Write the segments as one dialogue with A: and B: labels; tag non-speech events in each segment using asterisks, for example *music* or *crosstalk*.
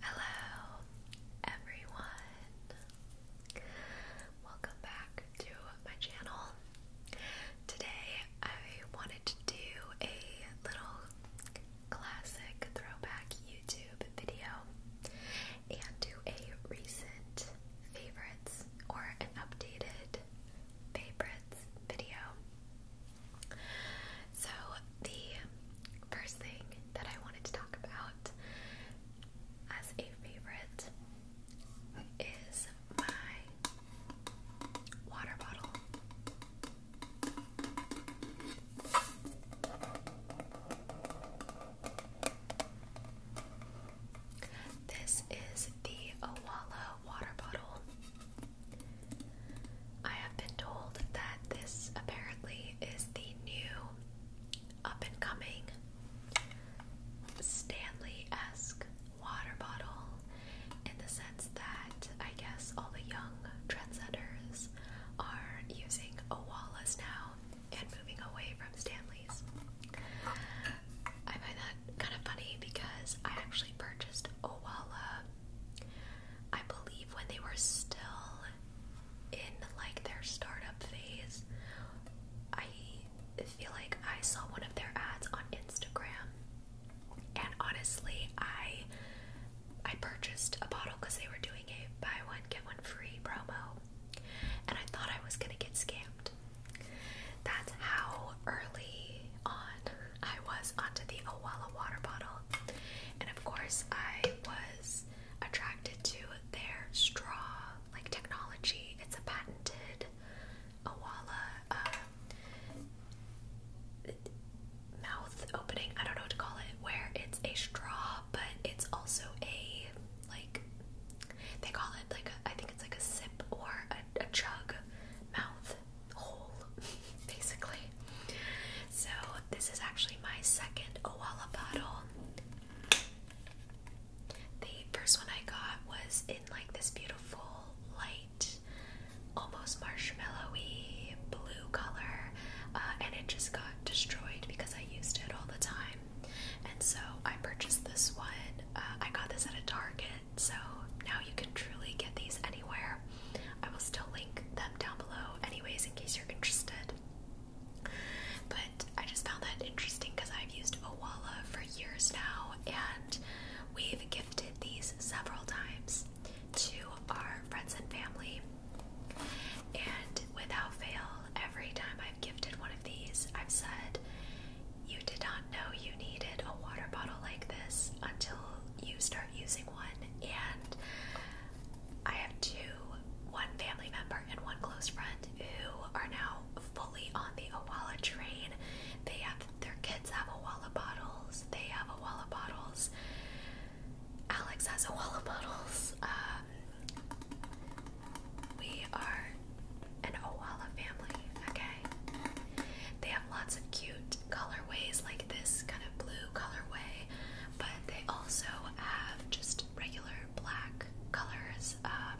A: Hello, everyone. Welcome back to my channel. Today, I wanted to do a little classic throwback YouTube video and do a recent favorites or an updated favorites video. So, the first thing that I wanted to talk about as a favorite is my water bottle. This is the Owala water bottle. I have been told that this apparently is the new up and coming Stanley esque water bottle in the sense that I guess all the young trendsetters are using Owalas now and moving away from Stanley's. I find that kind of funny because I actually purchased Owala I believe when they were still in like their startup phase, I feel like I saw one of their ads on Instagram. And honestly, I I purchased a bottle because they were doing a buy one get one free promo, and I thought I was gonna get scammed. That's how early on I was onto the Owala water bottle. And of course, I was attracted to their straw like technology. It's a patented Awala um, mouth opening. I don't know what to call it. Where it's a straw, but it's also a like they call it like I think it's like a sip or a chug mouth hole, *laughs* basically. So this is actually my second Owala bottle. The first one I got was in like this beautiful light, almost marshmallowy blue color, uh, and it just got destroyed because I used it all the time. And so I purchased this one. Uh, I got this at a Target, so now you can truly get these anywhere. I will still link them down below, anyways, in case you're interested. But I just found that interesting because I've used Owala for years now, and we've gifted these several times to our friends and family. And without fail, every time I've gifted one of these, I've said, You did not know you needed a water bottle like this until you start using one. And I have two, one family member and one close friend who are now fully on the Awala train. They have their kids have Awala bottles. They have Awala bottles. Alex has Awala *laughs* bottles. Um, we are an Awala family. Okay. They have lots of cute colorways like this kind of blue colorway but they also have just regular black colors. Um,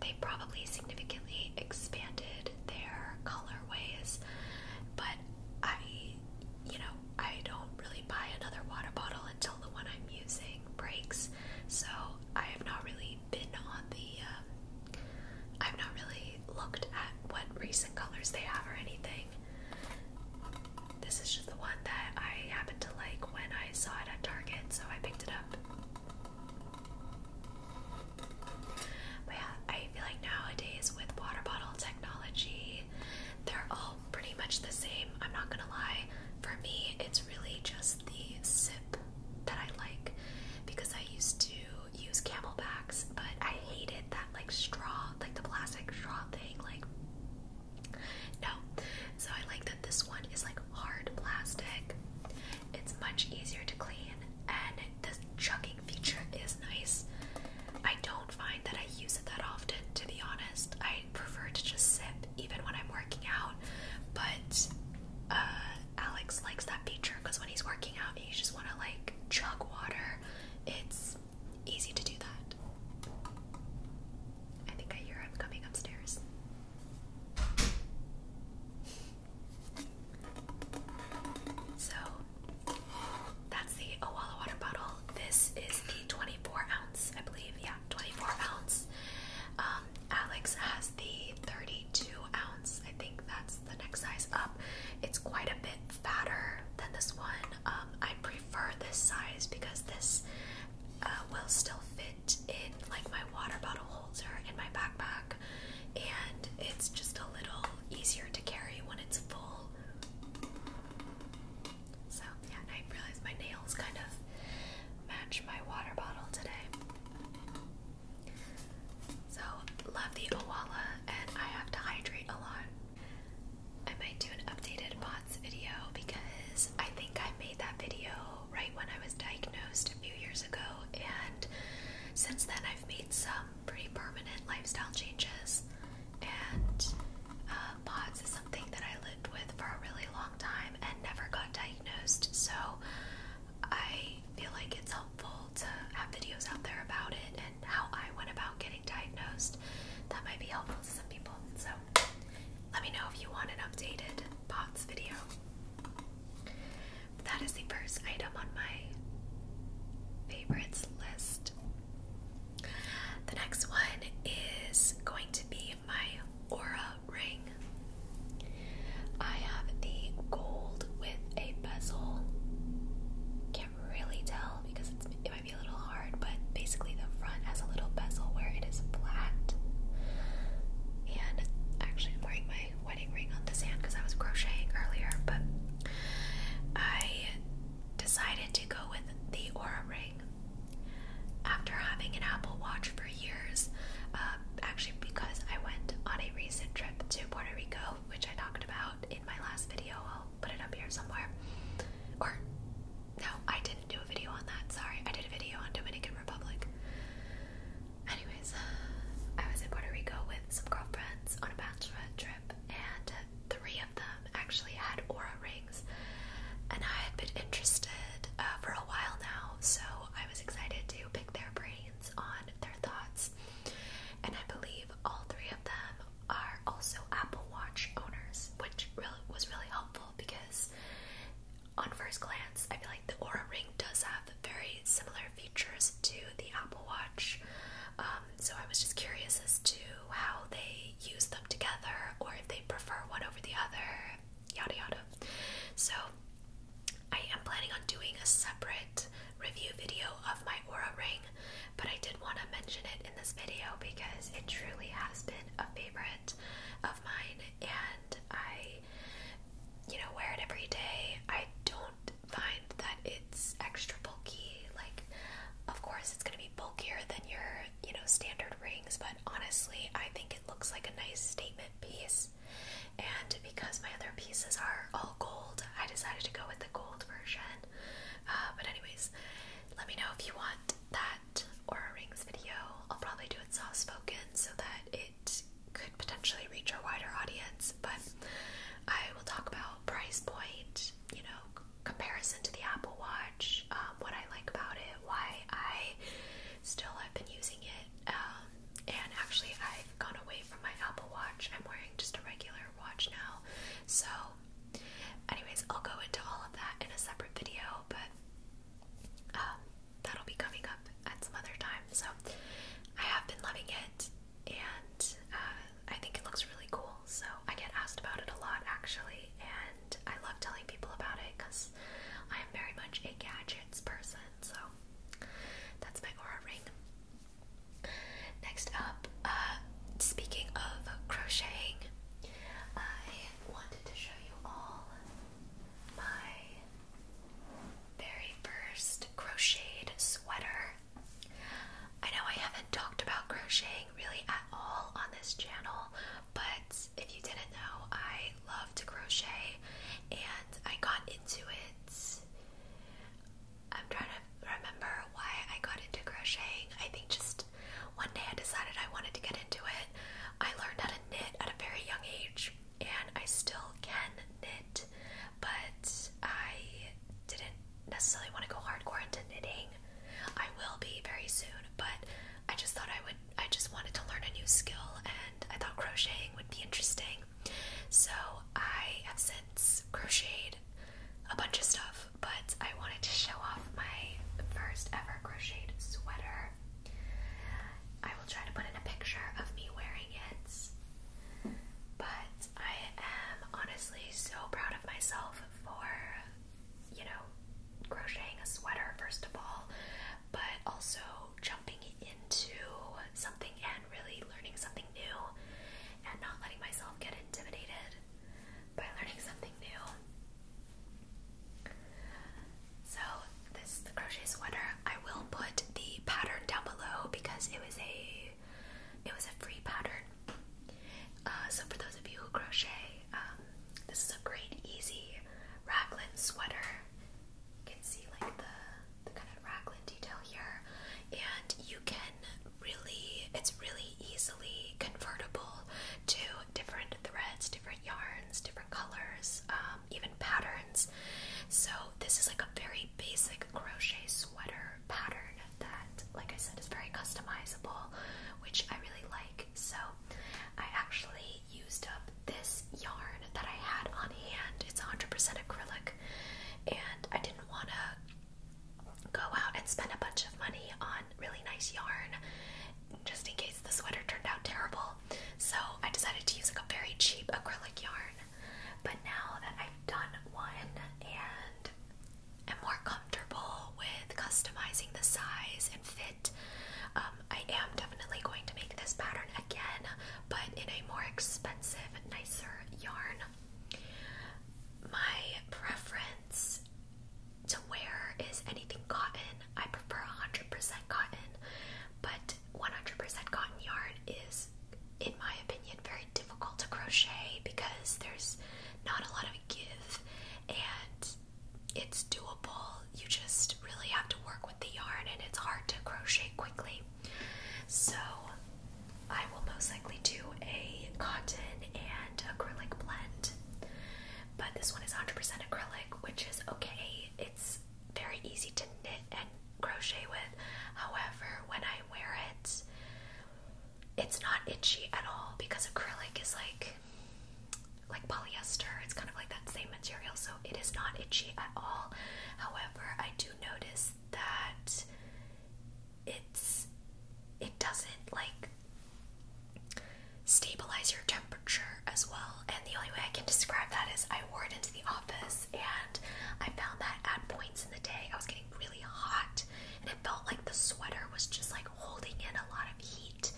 A: they probably significantly expanded their colorways, but I, you know, I don't really buy another water bottle until the one I'm using breaks, so I have not really been on the. Um, I've not really looked at what recent colors they have or anything. This is just the one that I happened to like when I saw it at Target, so I picked it up. But yeah, I feel like nowadays with water bottle technology, they're all pretty much the same. I'm not gonna lie. For me, it's really just the sip that I like because I used to use camelbacks, but I hated like straw, like the plastic straw thing, like no. So I like that this one is like hard plastic. It's much easier to clean and the chugging feature is nice. I don't find that I use it that often to be honest. I prefer to just sip even when I'm working out, but uh Alex likes that feature because when he's working out, he just want to like chug water. It's easy to do that. I think I hear him coming upstairs. So that's the Owala water bottle. This is the 24 ounce, I believe. Yeah, 24 ounce. Um, Alex has the 32 ounce. I think that's the next size up. It's quite a bit fatter than this one. Um, I prefer this size because this uh, will still fit in like my water bottle holder in my backpack, and it's just a little easier to carry when it's full. So yeah, I realized my nails kind of match my water bottle today. So love the Owala, and I have to hydrate a lot. I might do an updated POTS video because I think I made that video right when I was diagnosed a few years ago, and since then I've made some pretty permanent lifestyle changes. And uh, POTS is something that I lived with for a really long time and never got diagnosed, so I feel like it's helpful to have videos out there about it how I went about getting diagnosed. That might be helpful to some people. So let me know if you want an updated POTS video. That is the first item on my favorites list. The next one is going to be my Aura ring. I have the gold with a bezel really tell because it's, it might be a little hard, but basically the front has a little bezel where it is flat. And actually, I'm wearing my wedding ring on this hand because I was crocheting earlier, but I decided to go with the Aura ring after having an Apple Watch for years. Uh, actually, because I went on a recent trip to Puerto Rico which I talked about in my last video. I'll put it up here somewhere. Or, no, I didn't do a video on that. Sorry, I did a video on Dominican Republic. Anyways, I was in Puerto Rico with some girlfriends on a bachelorette trip, and three of them actually had aura rings. And I had been interested uh, for a while now, so I was excited to pick their brains on their thoughts and I believe all three of them are also Apple Watch owners, which was really helpful because on first glance, I feel like the Aura Ring does have very similar features to the Apple Watch. Um, so I was just curious as to how they use them together or if they prefer one over the other, yada yada. So I am planning on doing a separate review video of my Aura Ring but I did want to mention it in this video because it truly has been a favorite of mine and I you know wear it every day. I don't find that it's extra bulky. Like of course it's going to be bulkier than your, you know, standard rings, but honestly, I think it looks like a nice statement piece. And because my other pieces are all gold, I decided to go with the gold version. Uh, but anyways, let me know if you want that aura rings video. I'll probably do it soft spoken so that it could potentially reach a wider audience. But I will talk about price point, you know, comparison to the Apple Watch, um, what I like about it, why I still have been using it, um, and actually I've gone away away my Apple Watch. I'm wearing just a regular watch now. So, anyways, I'll go into all of that in a separate video, but um, that'll be coming up at some other time. So, I have been loving it, and uh, I think it looks really cool. So, I get asked about it a lot actually, and I love telling people about it because I am very much a gadgets person. So, that's my aura ring. Next up, uh, speaking of crocheting, I wanted to show you all my very first crocheted sweater. I know I haven't talked about crocheting really at all on this channel, but if you didn't know, I love to crochet and I got into it I'm trying to remember why I got into crocheting. I think just one day I decided I wanted to get into it. I learned how to knit at a very young age, and I still can knit, but I didn't necessarily want to go hardcore into knitting. I will be very soon, but I just thought I would, I just wanted to learn a new skill, and I thought crocheting would be interesting. So I have since crocheted a bunch of stuff, but I wanted to show off my first ever crocheted sweater. I will try to put in a picture of me wearing it. But I am honestly so proud of myself for, you know, crocheting a sweater, first of all, but also jumping into something really learning something new and not letting myself get intimidated by learning something new. So this is the crochet sweater. I will put the pattern down below because it was a it was a free pattern. Uh, so for those of you who crochet, um, this is a great easy raglan sweater. You can see like the the kind of raglan detail here, and you can really, it's really easily convertible to different threads, different yarns, different colors, um, even patterns. So, this is like a very basic crochet sweater pattern that, like I said, is very customizable, which I really like. So, I actually used up this yarn that I had on hand. It's 100% acrylic, and I didn't want to go out and spend a bunch of money on really nice yarn just in case the sweater turned out terrible. So I decided to use like a very cheap acrylic yarn. But now that I've done one and am more comfortable with customizing the size and fit, um, I am definitely going to make this pattern again, but in a more expensive, nicer yarn. My preference to wear is anything cotton. I prefer 100% cotton, but 100% cotton yarn is, in my opinion, very difficult to crochet because there's not a lot of give and it's doable. You just really have to work with the yarn and it's hard to crochet quickly. So I will most likely do a cotton and acrylic blend. But this one is 100% acrylic, which is okay. It's very easy to knit and crochet with. However, when I wear it, it's not itchy at all because acrylic is like like polyester. It's kind of like that same material, so it is not itchy at all. However, I do notice that it's it doesn't like stabilize your temperature as well. And the only way I can describe that is I wore it into the office and I found that at points in the day I was getting really hot and it felt like the sweater was just like holding in a lot of heat.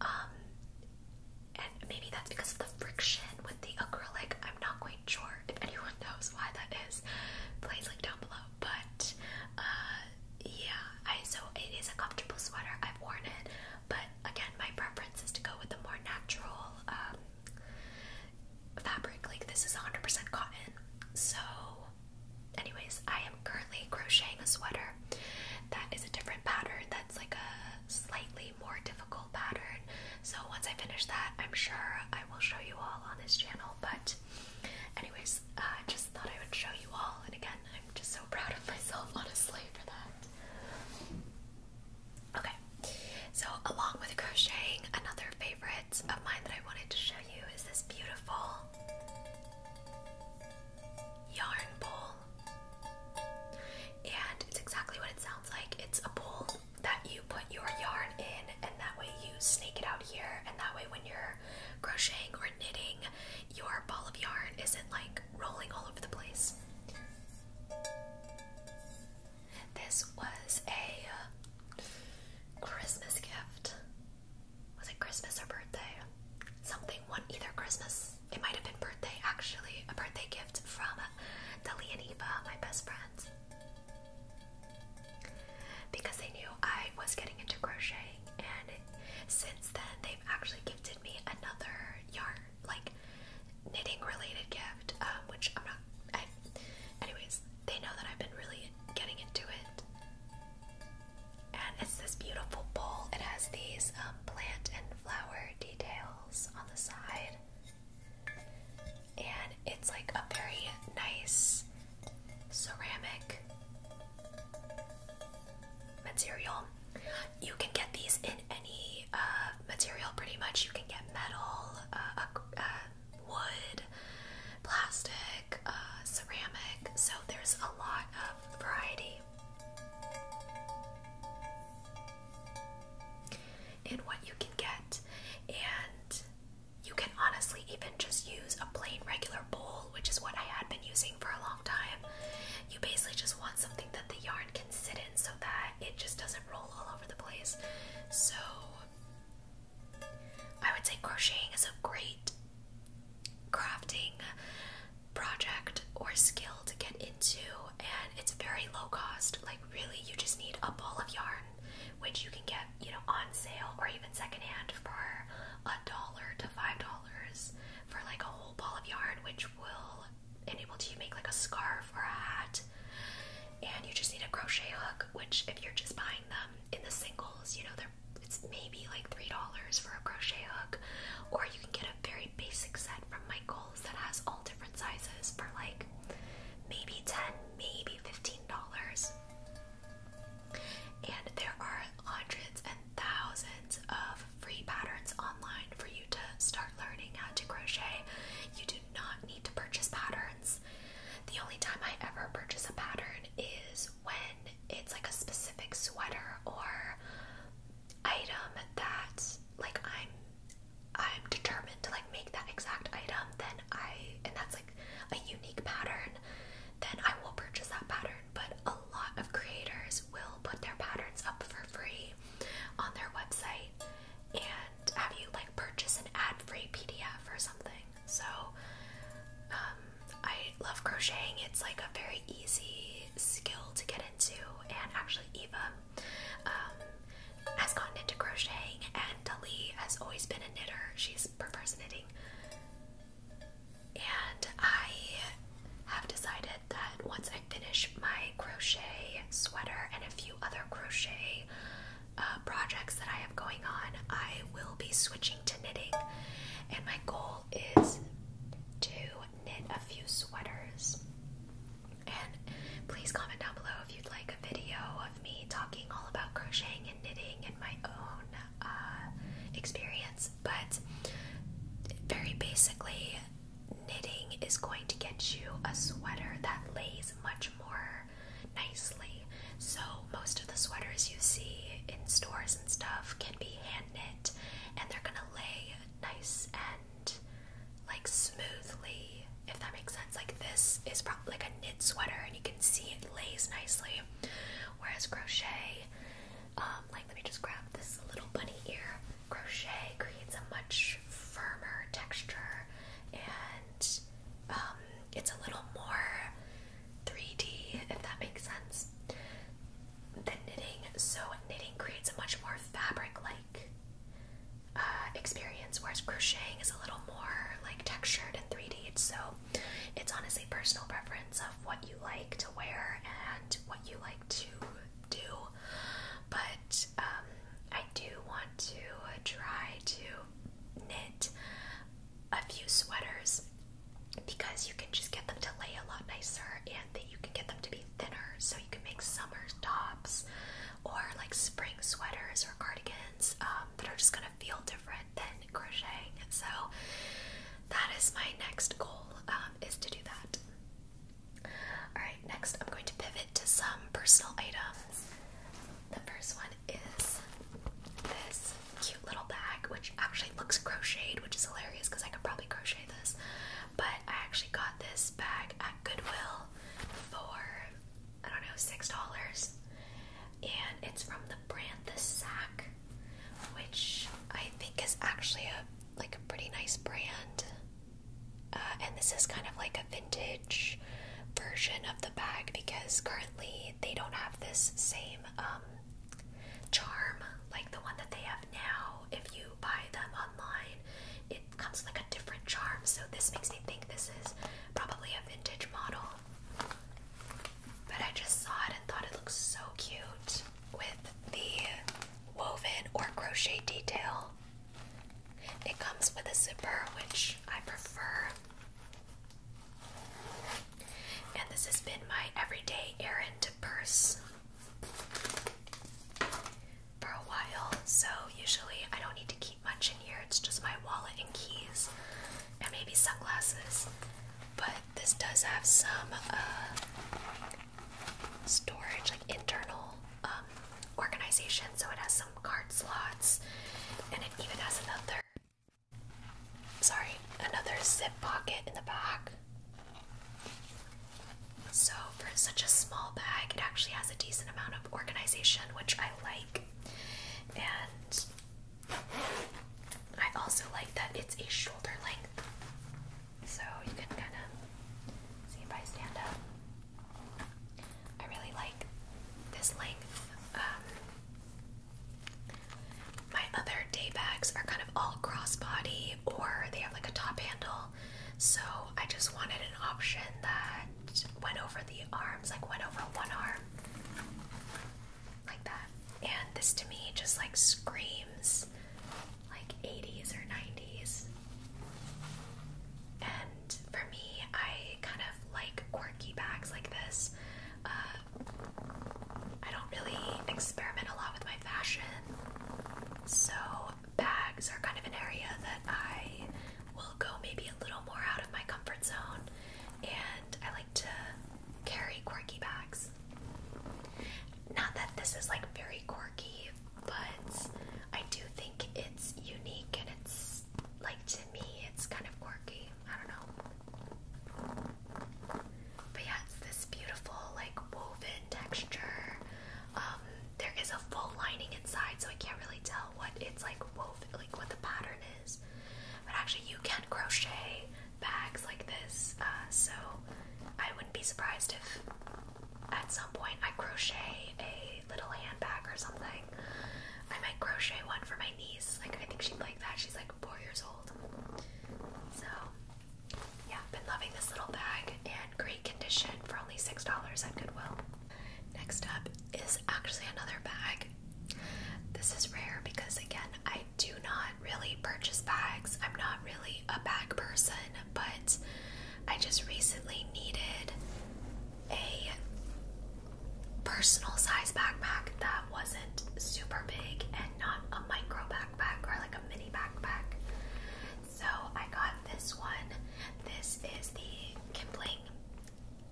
A: Um, and maybe that's because of the friction with the acrylic. I'm not quite sure, if anyone knows why that is, please link down below. But uh, yeah, so it is a comfortable sweater. I've worn it, but again, my preference is to go with a more natural um, fabric. Like this is 100% cotton. So, anyways, I am currently crocheting a sweater that is a different pattern. That's like a slightly more difficult pattern. So once I finish that, I'm sure I will show you all on this channel. But anyways, uh, I just thought I would show you all. And again, I'm just so *laughs* proud of myself, honestly, for that. Okay, so along with crocheting, another favorite of mine that I wanted to show you is this beautiful yarn bowl. And it's exactly what it sounds like. It's a bowl that you put your yarn in, and that way you snake it out here, and that way when you're crocheting or knitting, your ball of yarn isn't like rolling all over the place. This was a uh, Christmas gift. Was it Christmas or birthday? Something one either Christmas. It might have been birthday actually, a birthday gift from Dali and Eva, my best friends because they knew I was getting into crocheting, and since then they've actually gifted me another yarn, like knitting-related gift, um, which I'm not. anyways, they know that I've been really getting into it, and it's this beautiful bowl. It has these um, plant and flower details on the side and it's like a very nice ceramic material. You can get these in any uh, material, pretty much. You can get metal, uh, uh, wood, plastic, ceramic. So there's a lot of variety in what you can get, and you can honestly even just use a plain regular bowl, which is what I had been using for a long time. You basically just want something that the yarn can sit in so that it just doesn't roll all over the place. So, I would say crocheting is a great crafting project or skill to get into, and it's very low cost. Like, really, you just need a ball of yarn, which you can get, you know, on sale or even secondhand for a dollar to five dollars for like a whole ball of yarn, which will enable you to make like a scarf or a hat. And you just need a crochet hook, which if you're just buying them in the singles, you know, they're it's maybe like three dollars for a crochet hook, or you can get a very basic set from Michael that has all different sizes for like maybe 10, maybe $15. And there are hundreds and thousands of free patterns online for you to start learning how to crochet. You do not need to purchase patterns. The only time I ever purchase a pattern is when it's like a specific sweater or item that like I'm I'm determined to like make that exact item, then I and that's like a unique pattern, then I will purchase that pattern. But a lot of creators will put their patterns up for free on their website and have you like purchase an ad-free PDF or something. So um, I love crocheting. It's like a very easy skill to get into and actually Eva um, has gotten into crocheting, and Dali has always been a knitter. She prefers knitting. And I have decided that once I finish my crochet sweater and a few other crochet uh, projects that I have going on, I will be switching to knitting. And my goal is to knit a few sweaters and please comment down below if you'd like a video of me talking all about crocheting and knitting and my own uh, experience. But very basically, knitting is going to get you a sweater that lays much more nicely. So, most of the sweaters you see in stores and stuff can be hand knit and they're gonna lay nice like smoothly, if that makes sense. Like this is probably like a knit sweater, and you can see it lays nicely. Whereas crochet, um, like let me just grab this little bunny ear. Crochet creates a much firmer texture, and um, it's a little more 3D, if that makes sense. Than knitting, so knitting creates a much more fabric-like uh, experience, whereas crocheting is a little more like textured and 3D. So it's honestly personal preference of what you like to wear and what you like to do. But um, I do want to try to knit a few sweaters because you can just get them to lay a lot nicer that you can get them to be thinner so you can make summer tops or like spring sweaters or cardigans um, that are just gonna feel different than crocheting. So that is my next goal um, is to do that. Alright, next I'm going to pivot to some personal items. The first one is this cute little bag, which actually looks crocheted, which is hilarious because I could probably crochet this but I actually got this bag at Goodwill for I don't know six dollars, and it's from the brand The Sack, which I think is actually a like a pretty nice brand. Uh, and this is kind of like a vintage version of the bag because currently they don't have this same um, charm like the one that they have now. If you buy them online, it it comes with like a different charm, so this makes me think this is probably a vintage model. But I just saw it and thought it looks so cute with the woven or crochet detail. It comes with a zipper, which I prefer. And this has been my everyday errand purse for a while, so usually I don't need to keep much in here. It's just my wallet and keys, and maybe sunglasses. But this does have some uh, storage, like internal um, organization. So it has some card slots, and it even has another. Sorry, another zip pocket in the back. So, for such a small bag, it actually has a decent amount of organization, which I like. And I also like that it's a shoulder length. So, you can kind of see if I stand up. I really like this length. Um, my other day bags are kind of all crossbody, or they have like a top handle, so I just wanted an option that went over the arms, like went over one arm, like that. And this to me just like screams like 80s or 90s. And for me, I kind of like quirky bags like this. Uh, I don't really experiment a lot with my fashion, so bags are kind of an area that I will go maybe a little more out of my comfort zone, and I like to carry quirky bags. Not that this is like very quirky, but I do think it's unique and it's like to me, it's kind of quirky. I don't know. But yeah, it's this beautiful, like woven texture. Um, there is a full lining inside, so I can't really tell what it's like like what the pattern is. But actually, you can crochet bags like this, uh, so I wouldn't be surprised if at some point I crochet a little handbag or something. I might crochet one for my niece. Like I think she'd like that. She's like four years old. So yeah, been loving this little bag and great condition for only $6 at Goodwill. Next up is actually another bag. This is rare because, again, I do not really purchase bags. I'm not really a bag person, but I just recently needed a personal size backpack that wasn't super big and not a micro backpack or like a mini backpack. So I got this one. This is the Kipling.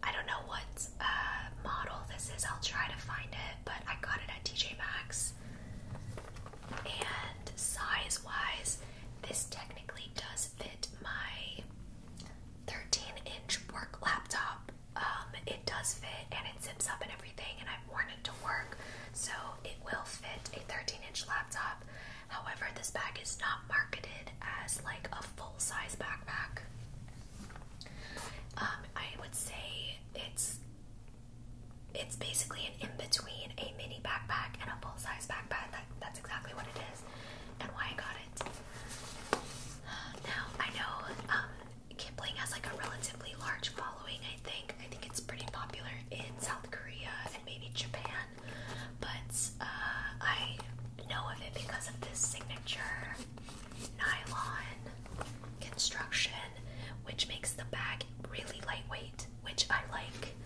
A: I don't know what uh, model this is. I'll try to find it, but I got it at TJ Maxx. And size wise, this technically does fit my 13 inch work laptop. Um, it does fit and it zips up and everything, and I worn it to work, so it will fit a 13-inch laptop. However, this bag is not marketed as like a full-size backpack. Um, I would say it's it's basically an in-between a mini backpack and a full-size backpack. That, that's exactly what it is and why I got it. Now I know um, Kipling has like a relatively large following, I think, I think it's pretty popular in South Korea and maybe Japan, but uh, I know of it because of this signature nylon construction, which makes the bag really lightweight, which I like.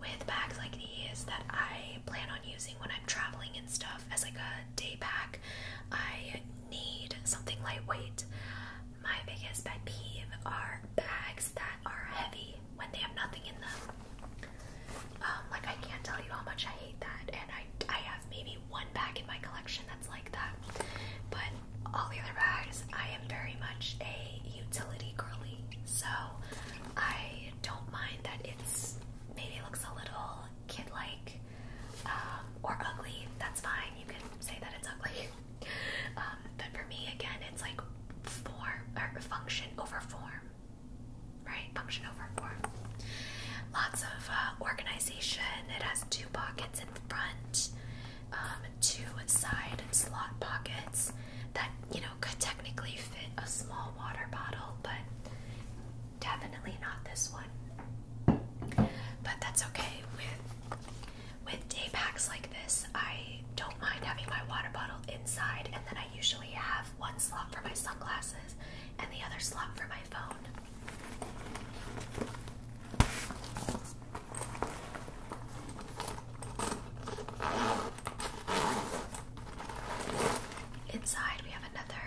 A: With bags like these that I plan on using when I'm traveling and stuff as like a day pack, I need something lightweight. My biggest pet peeve are bags that are heavy when they have nothing in them. Um, like I can't tell you how much I hate that, and I I have maybe one bag in my collection that's like that. But all the other bags, I am very much a utility girly, so I don't mind that it's maybe looks a little kid-like um, or ugly. That's fine. You can say that it's ugly. *laughs* Um, but for me, again, it's like form or function over form, right? Function over form. Lots of uh, organization. It has two pockets in front, um, two side slot pockets that you know could technically fit a small water bottle, but definitely not this one. But that's okay with with day packs like this, I don't mind having my water bottle inside, and then I usually have one slot for my sunglasses and the other slot for my phone. Inside, we have another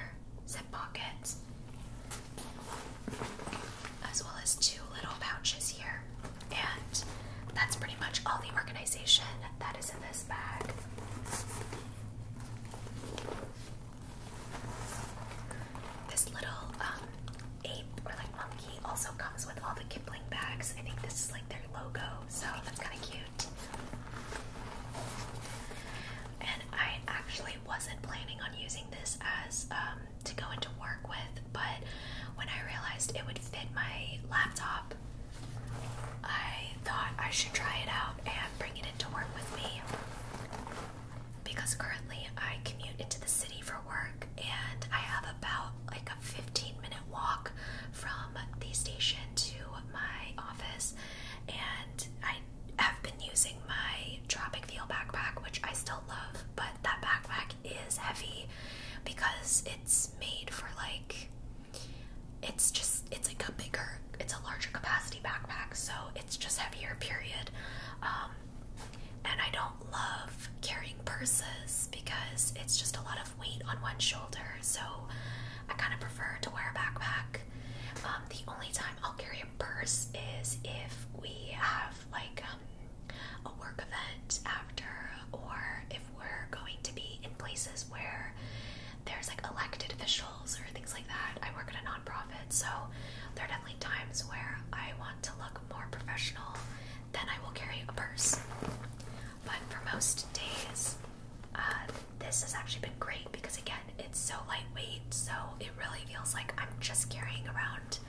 A: zip pocket, as well as two little pouches here. And that's pretty much all the organization that is in this bag. This little um, ape or like monkey also comes with all the Kipling bags. I think this is like their logo, so that's kind of cute. And I actually wasn't planning on using this as um, to go into work with, but when I realized it would fit my laptop, I thought I should try it out and bring it into work with me. Because currently I commute into the city for work and I have about like a 15 minute walk from the station to my office and I have been using my Tropic Feel backpack which I still love but that backpack is heavy because it's made for like it's just it's like a bigger it's a larger capacity backpack so it's just heavier period um and I don't love carrying purses because it's just a lot of weight on one shoulder so I kind of prefer to wear a backpack um the only time I'll carry a purse is if we have like um a work event after, or if we're going to be in places where there's like elected officials or things like that. I work at a nonprofit, so there are definitely times where I want to look more professional, then I will carry a purse. But for most days, uh, this has actually been great because again, it's so lightweight, so it really feels like I'm just carrying around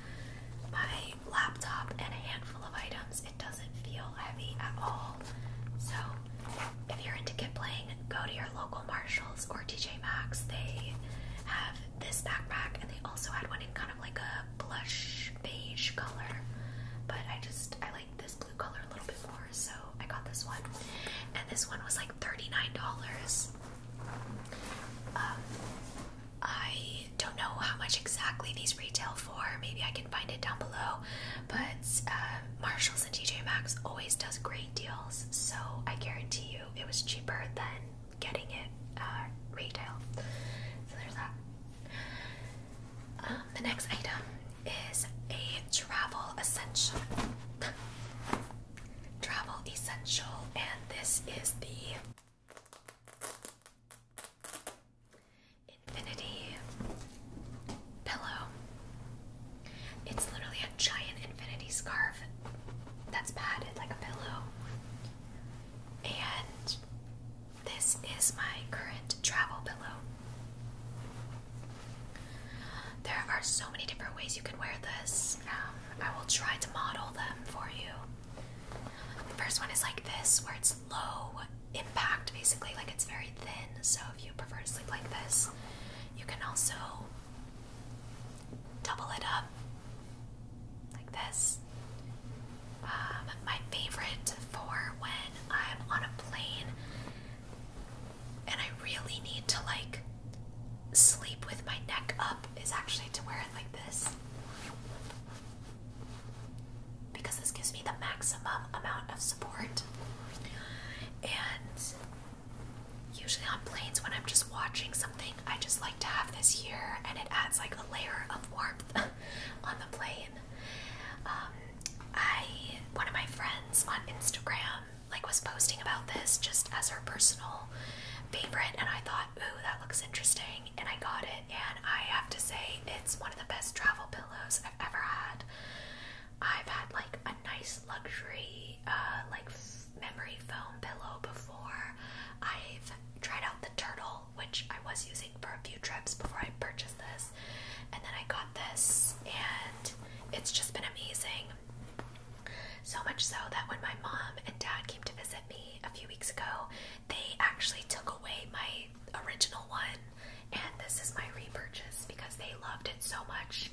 A: my laptop and a handful of items. It doesn't feel heavy at all. So if you're into kid playing, go to your local Marshalls or TJ Maxx. They have this backpack and they also had one in kind of like a blush beige color. But I just I like this blue color a little bit more, so I got this one. And this one was like $39. Um, I don't know how much exactly these retail for. Maybe I can find it down below. But uh, Marshalls and TJ Maxx always does great deals, so I guarantee you it was cheaper than getting it uh, retail. So there's that. Um, the next item is a travel essential. *laughs* travel essential, and this is the Infinity pillow. It's literally a giant infinity scarf that's padded like a pillow. And this is my current travel pillow. There are so many different ways you can wear this. Um, I will try to model them for you. The first one is like this, where it's low impact, basically, like it's very thin. So if you prefer to sleep like this, you can also double it up like this. Um, my favorite for when I'm on a plane and I really need to like sleep with my neck up is actually to wear it like this because this gives me the maximum amount of support. And usually on planes, when I'm just watching something, I just like to have this here, and it adds like a layer of warmth *laughs* on the plane. Um, I one of my friends on Instagram like was posting about this just as her personal favorite, and I thought ooh, that looks interesting, and I got it. And I have to say, it's one of the best travel pillows I've ever had. I've had like a nice luxury, uh, like memory foam pillow before. I've tried out the turtle, which I was using for a few trips before I purchased this, and then I got this, and it's just been amazing. So much so that when my mom and dad came to visit me a few weeks ago, they actually took away my original one, and this is my repurchase because they loved it so much.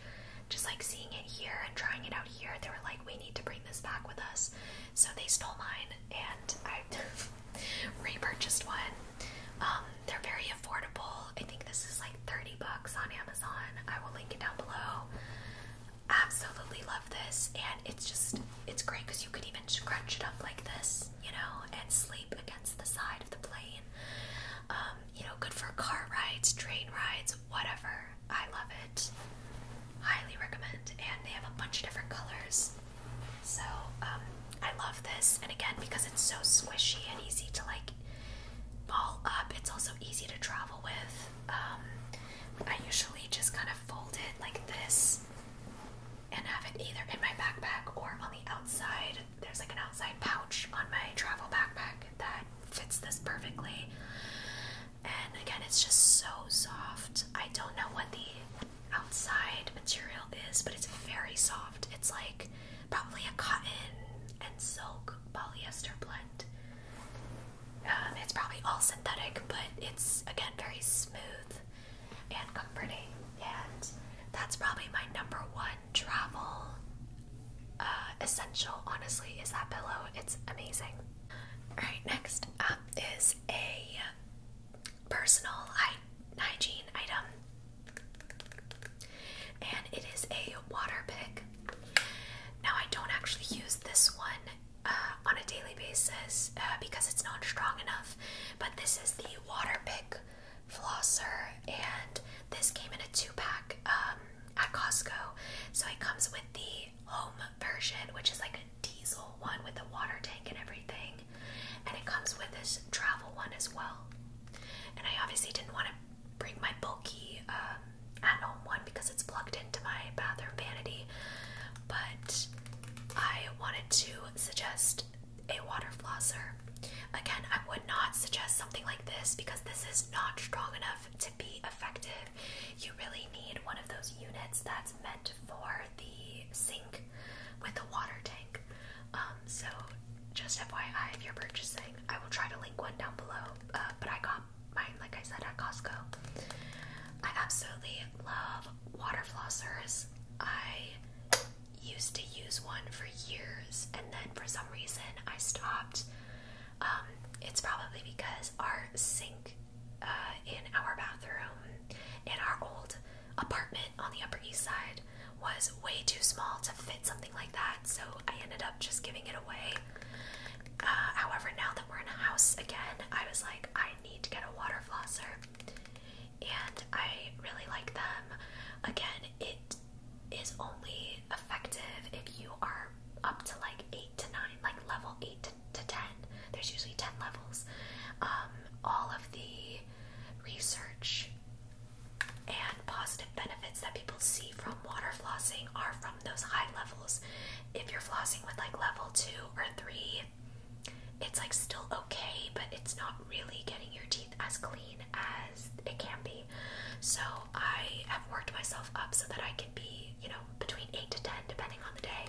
A: Just like seeing it here and trying it out here, they were like, we need to bring this back with us. So they stole mine and I *laughs* repurchased one. Um, they're very affordable. I think this is like 30 bucks on Amazon. I will link it down below absolutely love this, and it's just it's great because you could even scrunch it up like this, you know, and sleep against the side of the plane. Um, you know, good for car rides, train rides, whatever. I love it. Highly recommend, and they have a bunch of different colors. So um, I love this, and again because it's so squishy and easy to like ball up, it's also easy to travel with. Um, I usually just kind of fold it like this and have it either in my backpack or on the outside. There's like an outside pouch on my travel backpack that fits this perfectly. And again, it's just so soft. I don't know what the outside material is, but it's very soft. It's like probably a cotton and silk polyester blend. Um, it's probably all synthetic, but it's again very smooth and comforting. And that's probably my number one travel uh, essential, honestly, is that pillow. It's amazing. Alright, next up is a personal hygiene item. And it is a water pick. Now, I don't actually use this one uh, on a daily basis uh, because it's not strong enough. But this is the Water Pick flosser, and this came in a two pack um, at Costco. So it comes with the home version, which is like a diesel one with a water tank and everything, and it comes with this travel one as well. And I obviously didn't want to bring my bulky um, at home one because it's plugged into my bathroom vanity, but I wanted to suggest a water flosser. Again, I would not suggest something like this because this is not strong enough to be effective. You really need one of those units that's meant for the sink with a water tank. Um, so, just FYI, if you're purchasing, I will try to link one down below. Uh, but I got like I said, at Costco. I absolutely love water flossers. I used to use one for years, and then for some reason I stopped. Um, it's probably because our sink uh, in our bathroom in our old apartment on the Upper East Side was way too small to fit something like that, so I ended up just giving it away. Uh, however, now that we're in a house again, I was like, I need to get a water flosser, and I really like them. Again, it is only effective if you are up to like eight to nine, like level eight to, ten. There's usually ten levels. Um, all of the research and positive benefits that people see from water flossing are from those high levels if you're flossing with like level two or three, it's like still okay, but it's not really getting your teeth as clean as it can be. So I have worked myself up so that I can be, you know, between eight to ten depending on the day,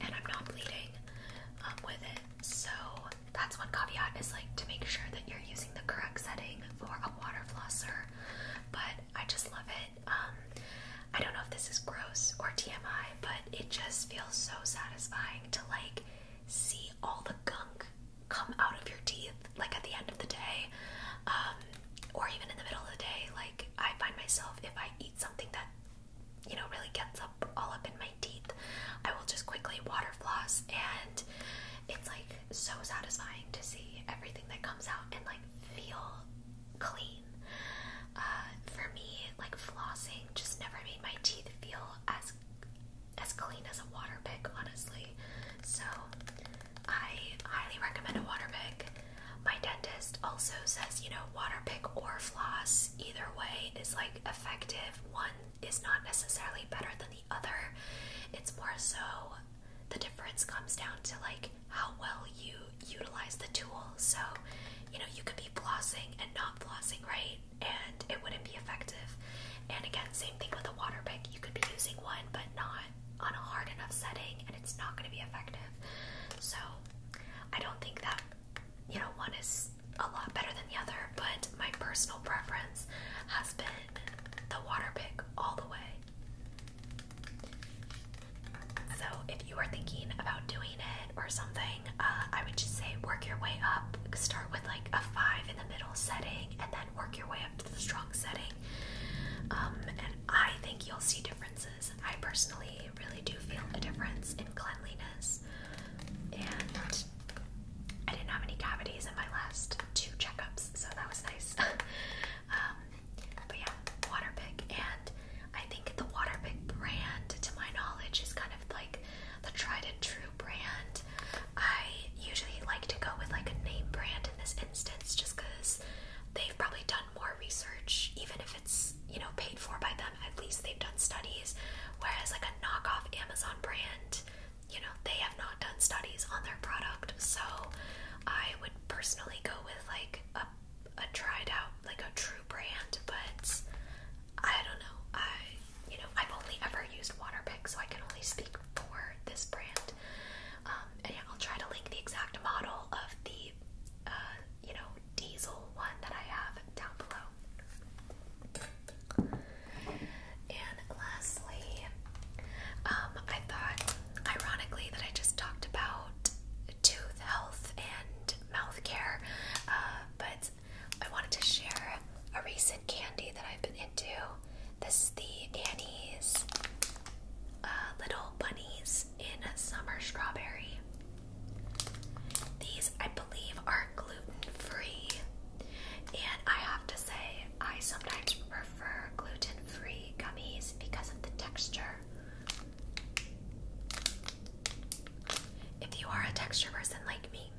A: and I'm not bleeding um, with it. So that's one caveat is like to make sure that you're using the correct setting for a water flosser. But I just love it. Um, I don't know if this is gross or TMI, but it just feels so satisfying to like see all the gunk come out of your teeth, like at the end of the day, um, or even in the middle of the day. Like I find myself if I eat something that you know really gets up all up in my teeth, I will just quickly water floss, and it's like so satisfying to see everything that comes out and like feel clean. Uh, for me, like flossing just never made my teeth feel as as clean as a water pick, honestly. So I highly recommend a water pick. My dentist also says, you know, water pick or floss, either way is like effective. One is not necessarily better than the other. It's more so the difference comes down to like how well you utilize the tool. So, you know, you could be flossing and not flossing, right? And it wouldn't be effective. And again, same thing with the water pick. You could be using one, but not on a hard enough setting, and it's not going to be effective. So, I don't think that, you know, one is a lot better than the other, but my personal preference has been the water pick all the way. So, if you are thinking about doing it or something, uh, I would just say work your way up. Start with like a five in the middle setting and then work your way up to the strong setting. Um, and I think you'll see differences. I personally really do feel a difference in cleanliness. And I didn't have any cavities in my last two checkups, so that was nice. *laughs* Um, but yeah, Waterpik, and I think the Waterpik brand, to my knowledge, is kind of like the tried and true brand. I usually like to go with like a name brand in this instance, just because they've probably done more research, even if it's you know paid for by them. At least they've done studies. Whereas like a knockoff Amazon brand, you know they have not done studies on their product. So I would personally go with like a a tried out like a true brand, but I don't know. I you know I've only ever used Waterpik, so I can only speak for this brand. Um, and I'll try to link the exact model of the uh, you know diesel one that I have down below lastly, um, I thought, ironically, that I just talked about tooth health and mouth care, uh, but I wanted to share a recent candy that I've been into. This is the Annie's uh, Little Bunnies in Summer Strawberry. These, I believe, are gluten free, and I have to say, I sometimes prefer prefer gluten-free gummies because of the texture. If you are a texture person like me,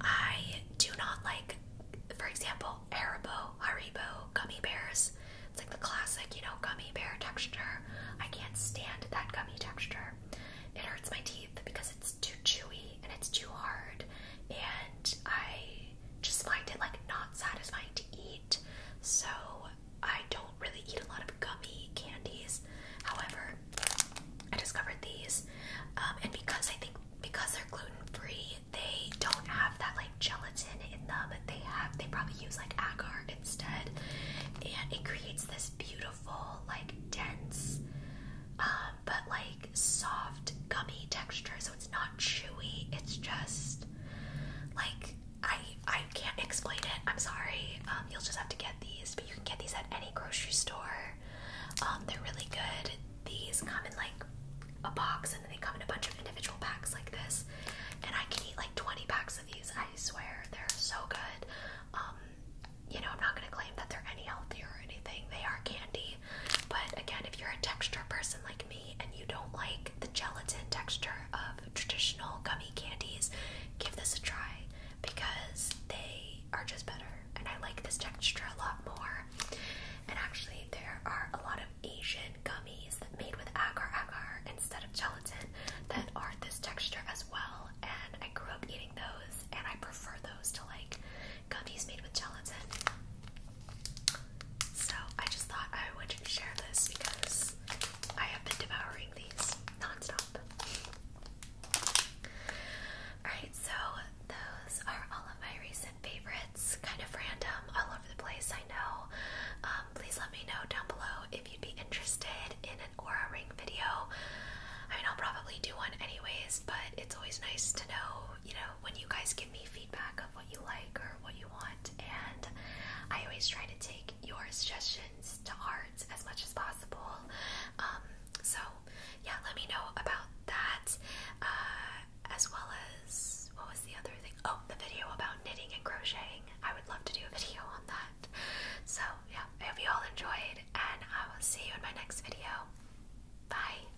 A: I do not like, for example, Haribo, Haribo gummy bears. It's like the classic, you know, gummy bear texture. I can't stand that gummy texture. It hurts my teeth because it's too chewy and it's too hard, and I just find it like not satisfying to eat. So I don't really eat a lot of gummy candies. However, I discovered these, um, and because I think because they're gluten free, they don't have that like gelatin in them. They have they probably use like agar instead, and it creates this beautiful like dense, um, but like soft gummy texture it's not chewy. It's just like I I can't explain it. I'm sorry. Um, you'll just have to get these, but you can get these at any grocery store. Um, they're really good. These come in like a box, and then they come in a bunch of individual packs like this. And I can eat like 20 packs of these. I swear they're so good. Um, you know, I'm not gonna claim that they're any healthier or anything. They are candy. But again, if you're a texture person like me and you don't like the gelatin texture of traditional gummy candies, give this a try because they are just better. And I like this texture a lot more. And actually, there are a lot of Asian gummies that made with agar agar instead of gelatin that are this texture as well. And I grew up eating those, and I prefer those to like gummies made with gelatin. So I just thought I would share this because I have been devouring these non Alright, so those are all of my recent favorites. Kind of random, all over the place, I know. Um, please let me know down below if you'd be interested in an aura ring video. I mean, I'll probably do one anyways, but it's always nice to know you know, when you guys give me feedback of what you like or what you want, and I always try to take your suggestions to heart as much as possible. Um, so, yeah, let me know about that, uh, as well as what was the other thing? Oh, the video about knitting and crocheting. I would love to do a video on that. So, yeah, I hope you all enjoyed, and I will see you in my next video. Bye.